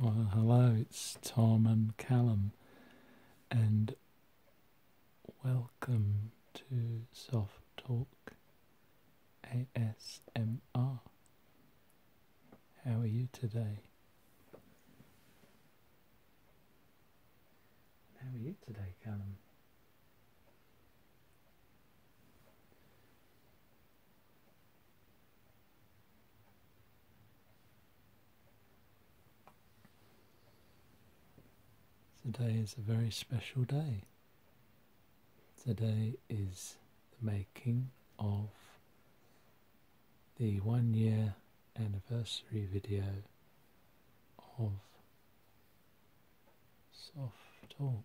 Well, hello, it's Tom and Callum, and welcome to Soft Talk ASMR. How are you today? How are you today, Callum? Today is a very special day. Today is the making of the one year anniversary video of Soft Talk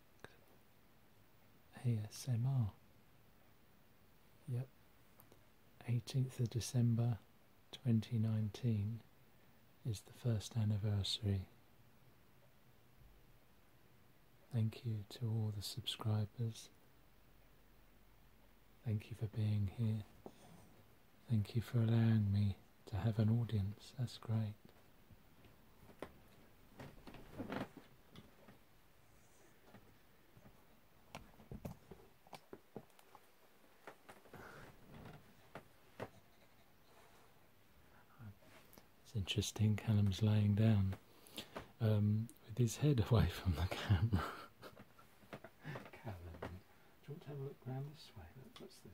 ASMR. Yep, 18th of December 2019 is the first anniversary. Thank you to all the subscribers. Thank you for being here. Thank you for allowing me to have an audience. That's great. It's interesting. Callum's laying down um, with his head away from the camera. Callum. Do you want to have a look round this way? what's this?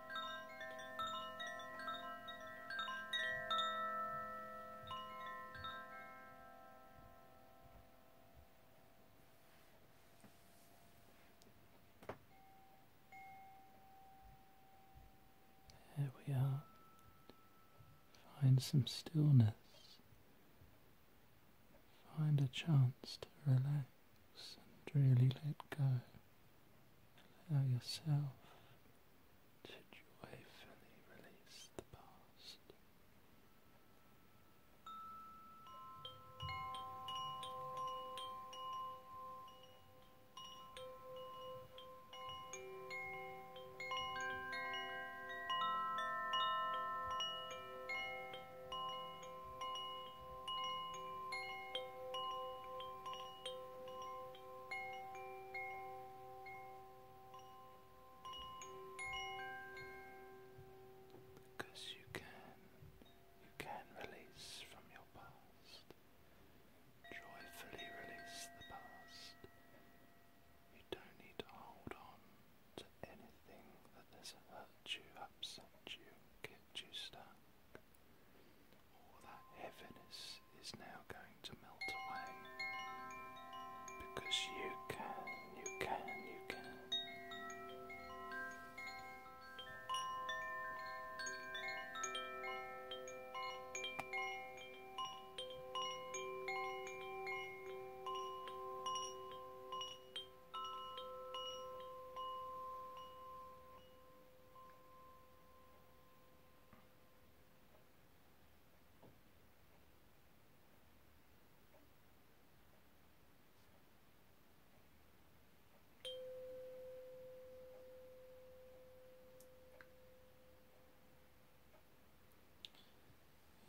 There we are. Find some stillness. Find a chance to relax and really let go. Allow yourself should you hopefully release the past. Because you can, you can release from your past. Joyfully release the past. You don't need to hold on to anything that has hurt you, upset you, get you all that heaviness is now going to melt away because you can, you can, you can.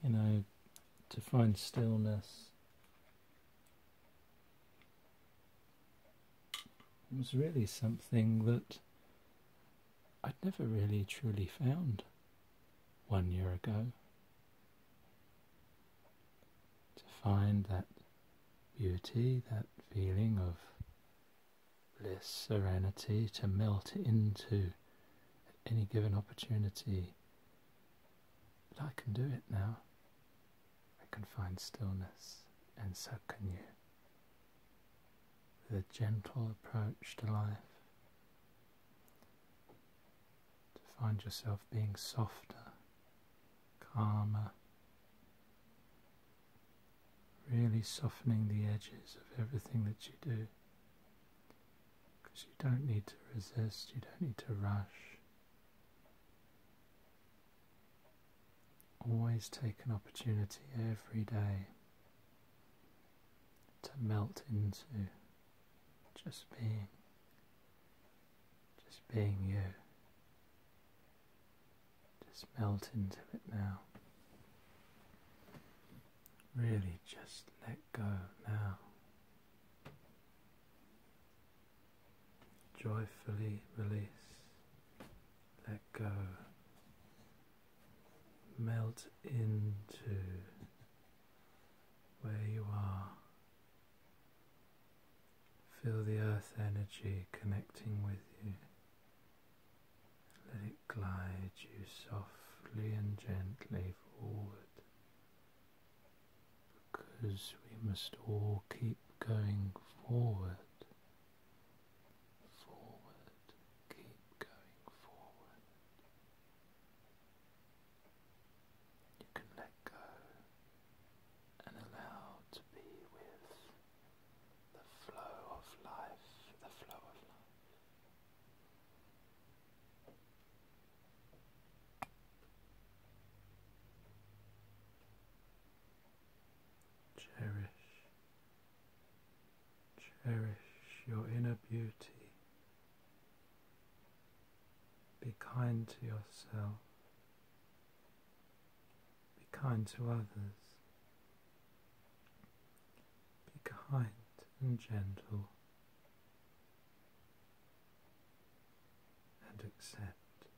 You know, to find stillness it was really something that I'd never really truly found one year ago. To find that beauty, that feeling of bliss, serenity, to melt into any given opportunity. But I can do it now. I can find stillness, and so can you with a gentle approach to life, to find yourself being softer, calmer, really softening the edges of everything that you do. Because you don't need to resist, you don't need to rush. Always take an opportunity every day to melt into just being, just being you. Just melt into it now. Really just let go now. Joyfully release let go, melt into where you are. Feel the earth energy connecting with you. Let it glide you softly and gently forward because we must all keep going forward forward, keep going forward. You can let go and allow to be with the flow of life, the flow of life. Cherish Cherish your inner beauty. Be kind to yourself. Be kind to others. Be kind and gentle. And accept.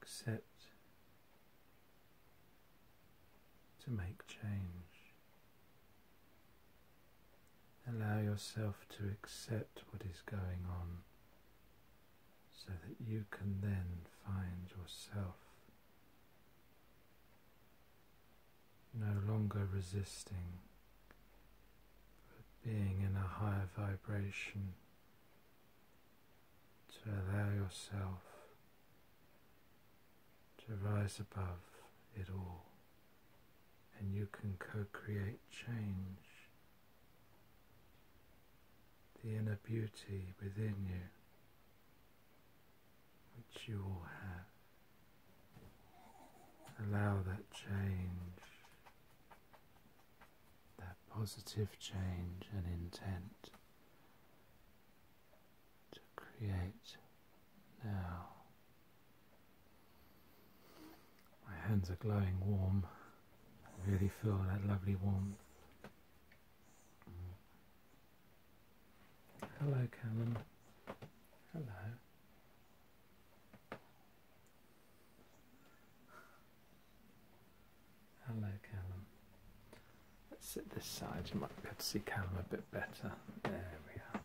Accept to make change. Allow yourself to accept what is going on so that you can then find yourself no longer resisting, but being in a higher vibration to allow yourself to rise above it all, and you can co create change, the inner beauty within you, which you all have. Allow that change, that positive change and intent to create now. My hands are glowing warm. I really feel that lovely warmth. Hello, Callum. Hello. Hello, Callum. Let's sit this side, you might be able to see Callum a bit better. There we are.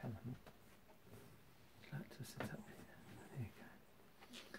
Callum, like to sit up here? There you go.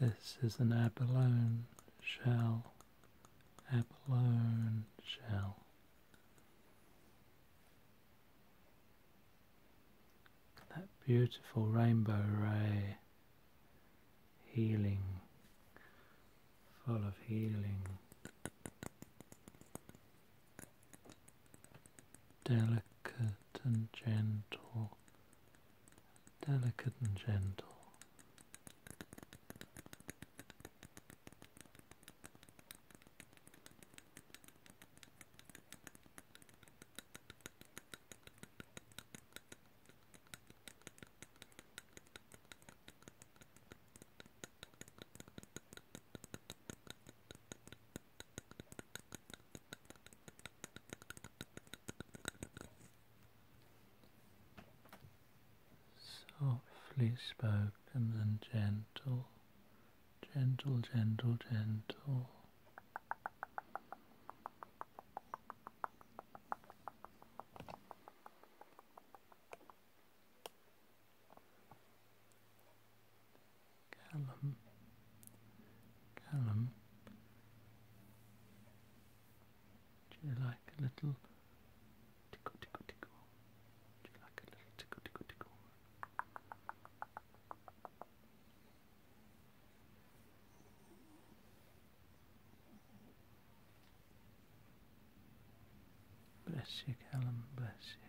This is an abalone shell, abalone shell. That beautiful rainbow ray, healing, full of healing. Delicate and gentle delicate and gentle. Softly spoken and gentle, gentle, gentle, gentle. Callum, Callum, you like a little tickle, tickle, tickle? you like a little tickle, tickle, tickle? Bless you, Callum, bless you.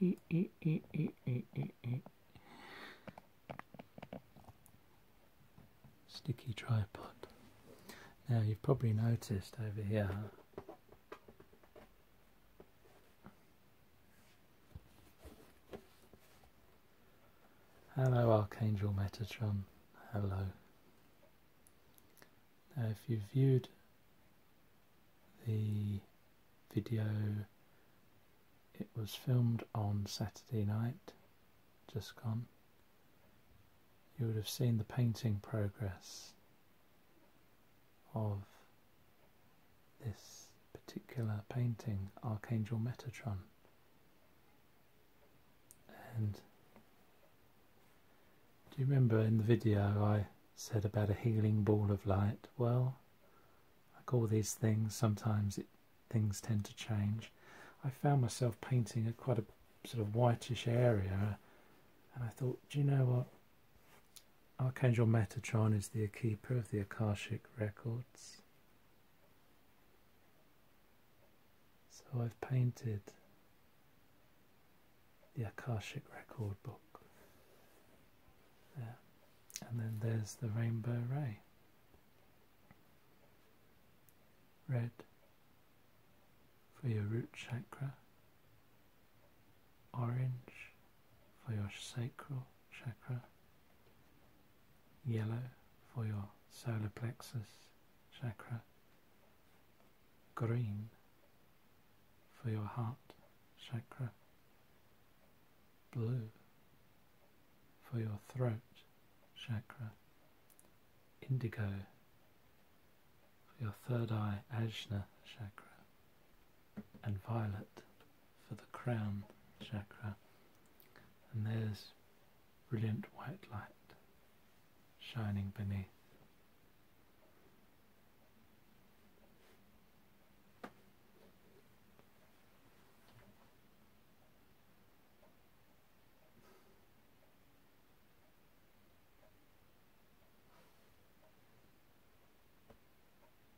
E, e, e, Sticky tripod. Now you've probably noticed over here Hello, Archangel Metatron. Hello. Now, if you viewed the video, it was filmed on Saturday night, just gone. You would have seen the painting progress of this particular painting, Archangel Metatron. And do you remember in the video I said about a healing ball of light? Well, like all these things, sometimes things tend to change. I found myself painting a quite a sort of whitish area and I thought, do you know what? Archangel Metatron is the keeper of the Akashic records. So I've painted the Akashic record book. And then there's the rainbow ray. Red for your root chakra, orange for your sacral chakra, Yellow for your solar plexus chakra. Green for your heart chakra. Blue for your throat chakra. Indigo for your third eye ajna chakra. And violet for the crown chakra. And there's brilliant white light shining beneath.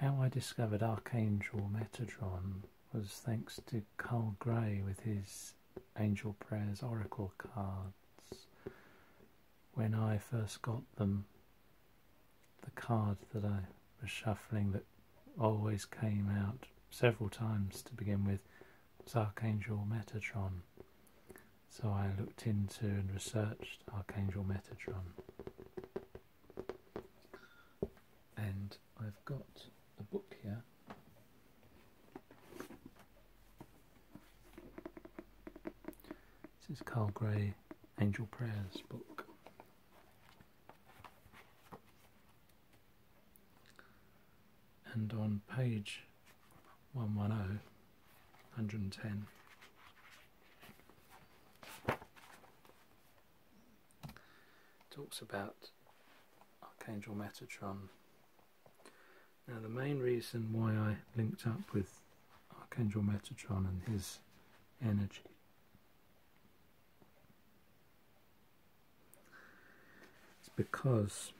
How I discovered Archangel Metatron was thanks to Carl Gray with his Angel Prayers Oracle cards. When I first got them, the card that I was shuffling that always came out several times to begin with was Archangel Metatron. So I looked into and researched Archangel Metatron. And I've got a book here. This is Carl Gray Angel Prayers book. And on page 110, 110. Talks about Archangel Metatron. Now, the main reason why I linked up with Archangel Metatron and his energy is because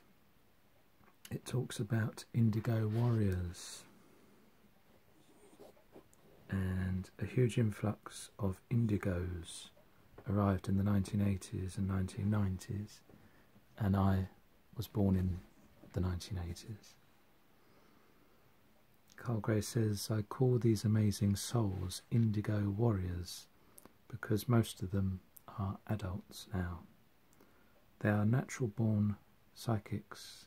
it talks about indigo warriors and a huge influx of indigos arrived in the 1980s and 1990s and I was born in the 1980s. Carl Gray says, I call these amazing souls indigo warriors because most of them are adults now. They are natural born psychics.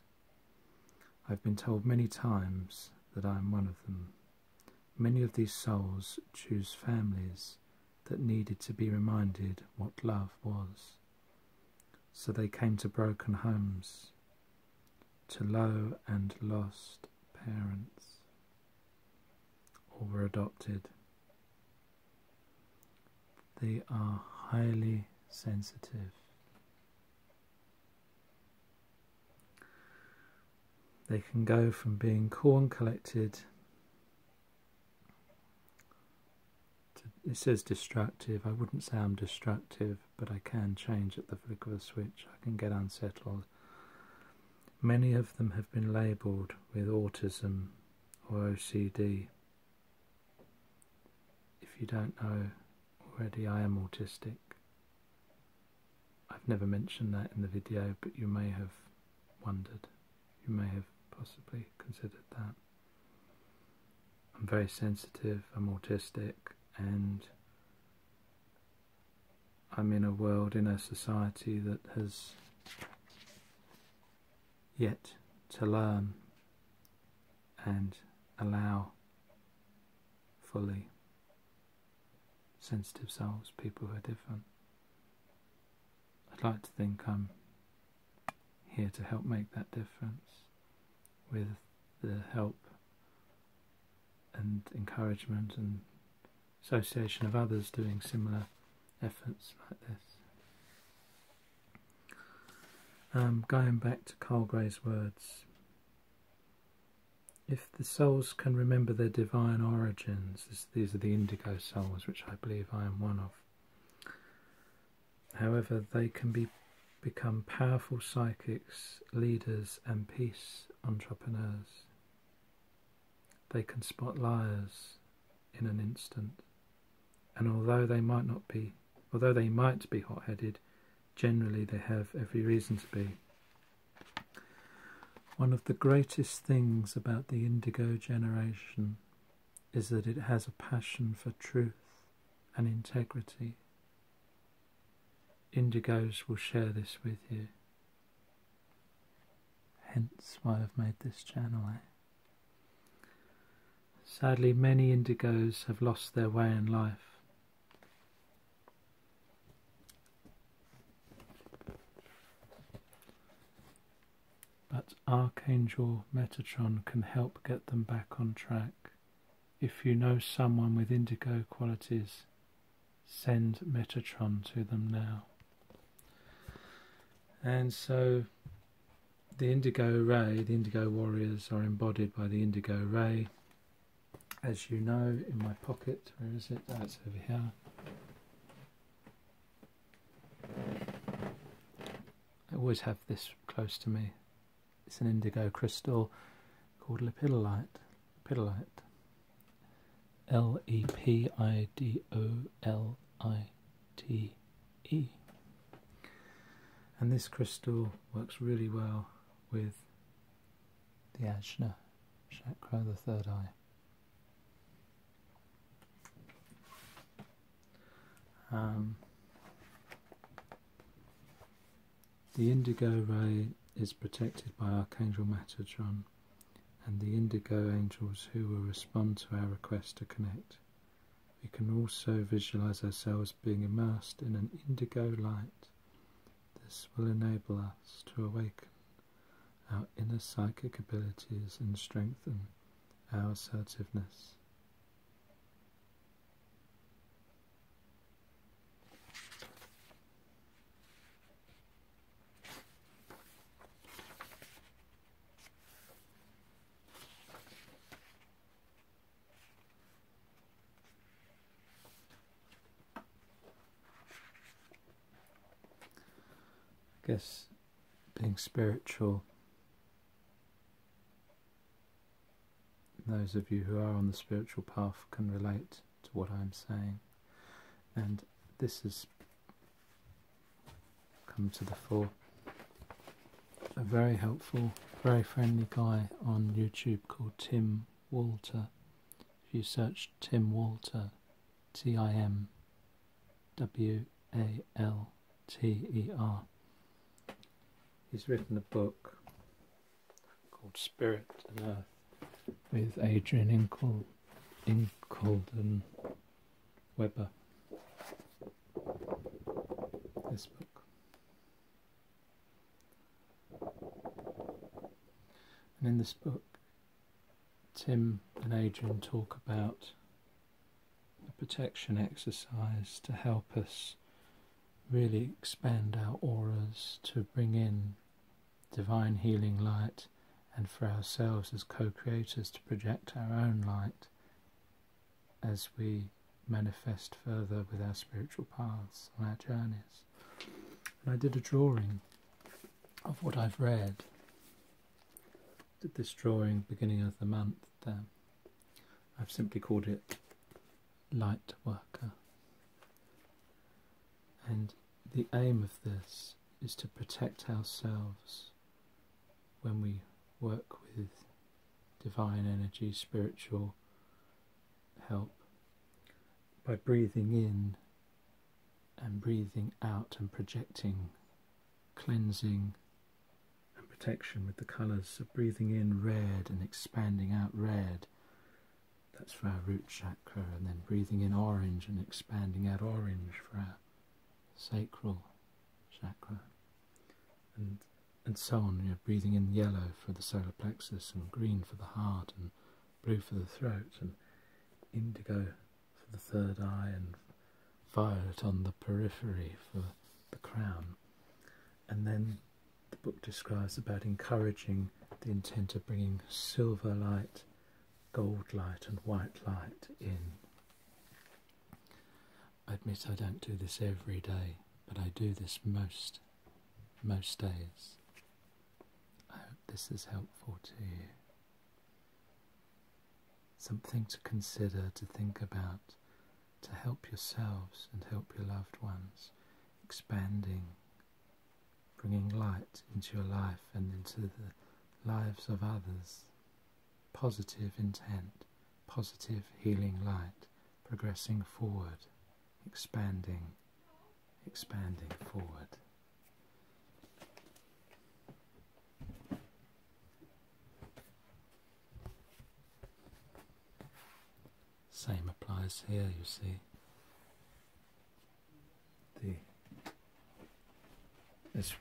I've been told many times that I am one of them. Many of these souls choose families that needed to be reminded what love was. So they came to broken homes, to low and lost parents, or were adopted. They are highly sensitive. They can go from being corn collected to, it says destructive. I wouldn't say I'm destructive, but I can change at the flick of a switch. I can get unsettled. Many of them have been labelled with autism or OCD. If you don't know already, I am autistic. I've never mentioned that in the video, but you may have wondered. You may have possibly considered that. I'm very sensitive, I'm autistic, and I'm in a world, in a society that has yet to learn and allow fully sensitive souls, people who are different. I'd like to think I'm here to help make that difference with the help and encouragement and association of others doing similar efforts like this. Um, going back to Carl Gray's words, if the souls can remember their divine origins, these are the indigo souls, which I believe I am one of. However, they can be become powerful psychics, leaders, and peace entrepreneurs. They can spot liars in an instant and although they might not be, although they might be hot-headed, generally they have every reason to be. One of the greatest things about the Indigo generation is that it has a passion for truth and integrity. Indigos will share this with you. Hence why I've made this channel. Sadly, many indigos have lost their way in life. But Archangel Metatron can help get them back on track. If you know someone with indigo qualities, send Metatron to them now. And so the indigo ray, the indigo warriors are embodied by the indigo ray. As you know, in my pocket, where is it? That's oh, over here. I always have this close to me. It's an indigo crystal called lepidolite. Lepidolite. L E P I D O L I T E. And this crystal works really well with the Ajna chakra, the third eye. Um, the indigo ray is protected by Archangel Matadron and the indigo angels who will respond to our request to connect. We can also visualize ourselves being immersed in an indigo light. This will enable us to awaken our inner psychic abilities and strengthen our assertiveness. I guess being spiritual, those of you who are on the spiritual path can relate to what I'm saying. And this has come to the fore a very helpful, very friendly guy on YouTube called Tim Walter. If you search Tim Walter, T I M W A L T E R, he's written a book called Spirit and Earth with Adrian Incoul, Incoulden Weber. This book and in this book, Tim and Adrian talk about a protection exercise to help us really expand our auras to bring in divine healing light and for ourselves as co creators to project our own light as we manifest further with our spiritual paths on our journeys. And I did a drawing of what I've read. Did this drawing beginning of the month there. Um, I've simply called it Light Worker. And the aim of this is to protect ourselves when we work with divine energy, spiritual help by breathing in and breathing out and projecting cleansing and protection with the colours. So breathing in red and expanding out red. That's for our root chakra, and then breathing in orange and expanding out orange for our sacral chakra and and so on. You're breathing in yellow for the solar plexus, and green for the heart, and blue for the throat, and indigo for the third eye, and violet on the periphery for the crown. And then the book describes about encouraging the intent of bringing silver light, gold light, and white light in. I admit I don't do this every day, but I do this most, most days. I hope this is helpful to you. Something to consider, to think about, to help yourselves and help your loved ones, expanding, bringing light into your life and into the lives of others. Positive intent, positive healing light progressing forward, expanding, expanding forward. Same applies here, you see. The, as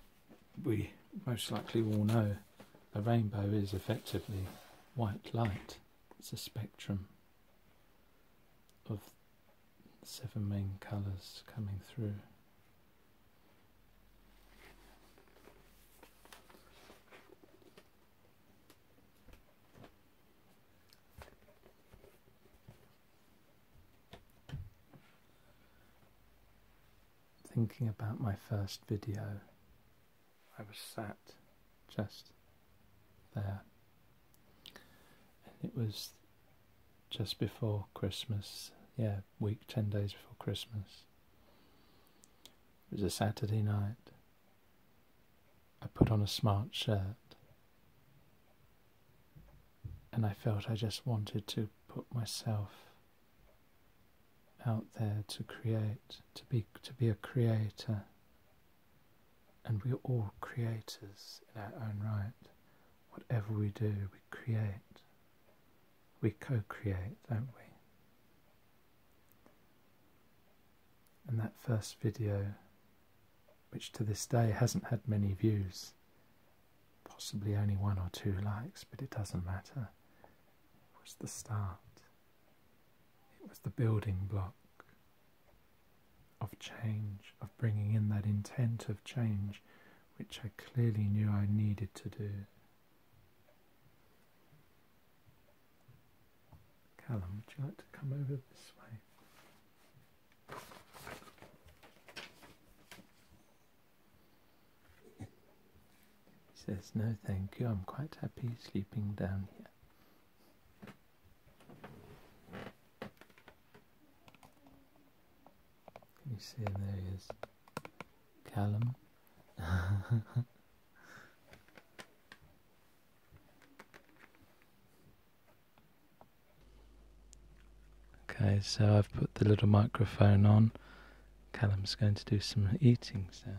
we most likely all know, a rainbow is effectively white light. It's a spectrum of seven main colours coming through. Thinking about my first video I was sat just there. And it was just before Christmas, yeah, week, 10 days before Christmas. It was a Saturday night. I put on a smart shirt and I felt I just wanted to put myself out there to create, to be, to be a creator. And we're all creators in our own right. Whatever we do, we create. We co create, don't we? And that first video, which to this day hasn't had many views, possibly only one or two likes, but it doesn't matter, it was the start it was the building block of change, of bringing in that intent of change which I clearly knew I needed to do. Callum, would you like to come over this way? He says, No, thank you, I'm quite happy sleeping down here. you see There he is. Callum. okay, so I've put the little microphone on. Callum's going to do some eating sounds.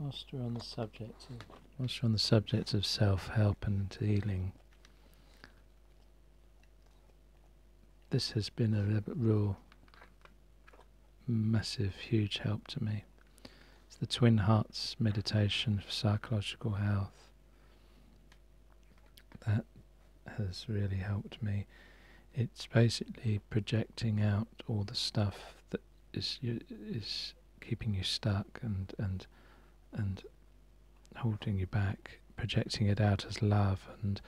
Master, on the subject of whilst on the subject of self help and healing, this has been a rule massive, huge help to me. It's the Twin Hearts meditation for psychological health. That has really helped me. It's basically projecting out all the stuff that is is keeping you stuck and and and holding you back, projecting it out as love and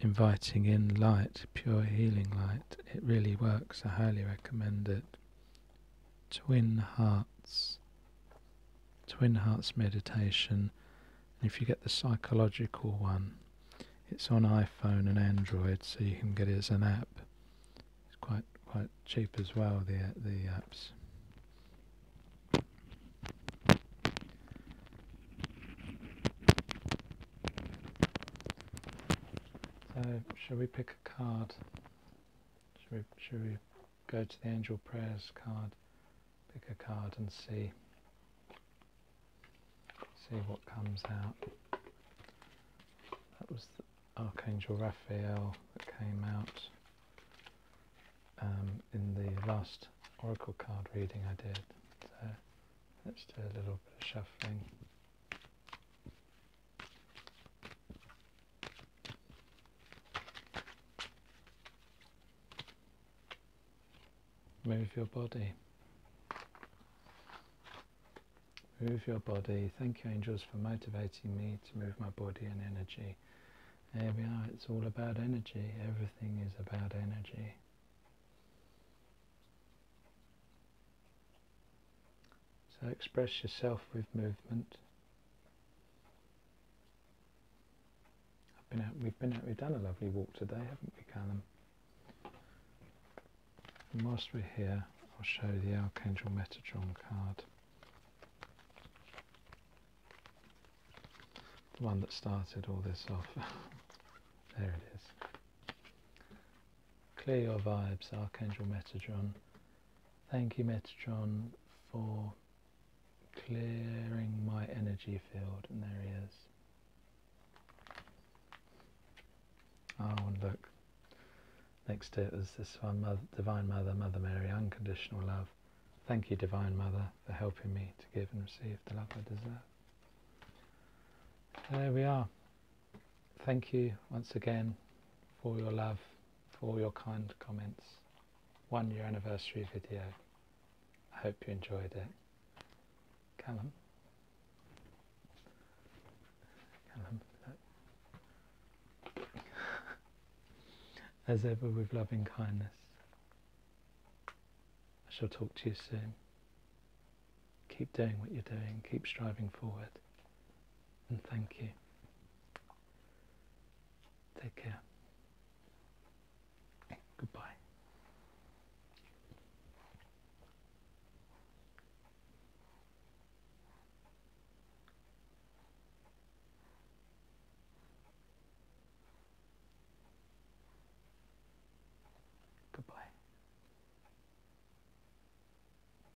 inviting in light, pure healing light. It really works. I highly recommend it. Twin Hearts, Twin Hearts meditation. if you get the psychological one, it's on iPhone and Android, so you can get it as an app. It's quite quite cheap as well. The the apps. So, shall we pick a card? Should we, go to the angel prayers card, pick a card and see, see what comes out. That was the Archangel Raphael that came out um, in the last oracle card reading I did. So let's do a little bit of shuffling. Move your body. Move your body. Thank you, angels, for motivating me to move my body and energy. There we it's all about energy. Everything is about energy. So express yourself with movement. we've been out, we've done a lovely walk today, haven't we, Karen? whilst we're here, I'll show the Archangel Metatron card. The one that started all this off. there it is. Clear your vibes, Archangel Metatron. Thank you, Metatron, for clearing my energy field. And there he is. Ah, oh, and look. Next to it is this one, Mother, Divine Mother, Mother Mary, unconditional love. Thank you, Divine Mother, for helping me to give and receive the love I deserve. There we are. Thank you once again for your love, for your kind comments. One year anniversary video. I hope you enjoyed it. Callum. Callum. As ever with loving kindness. I shall talk to you soon. Keep doing what you're doing. Keep striving forward and thank you. Take care. Goodbye. Goodbye.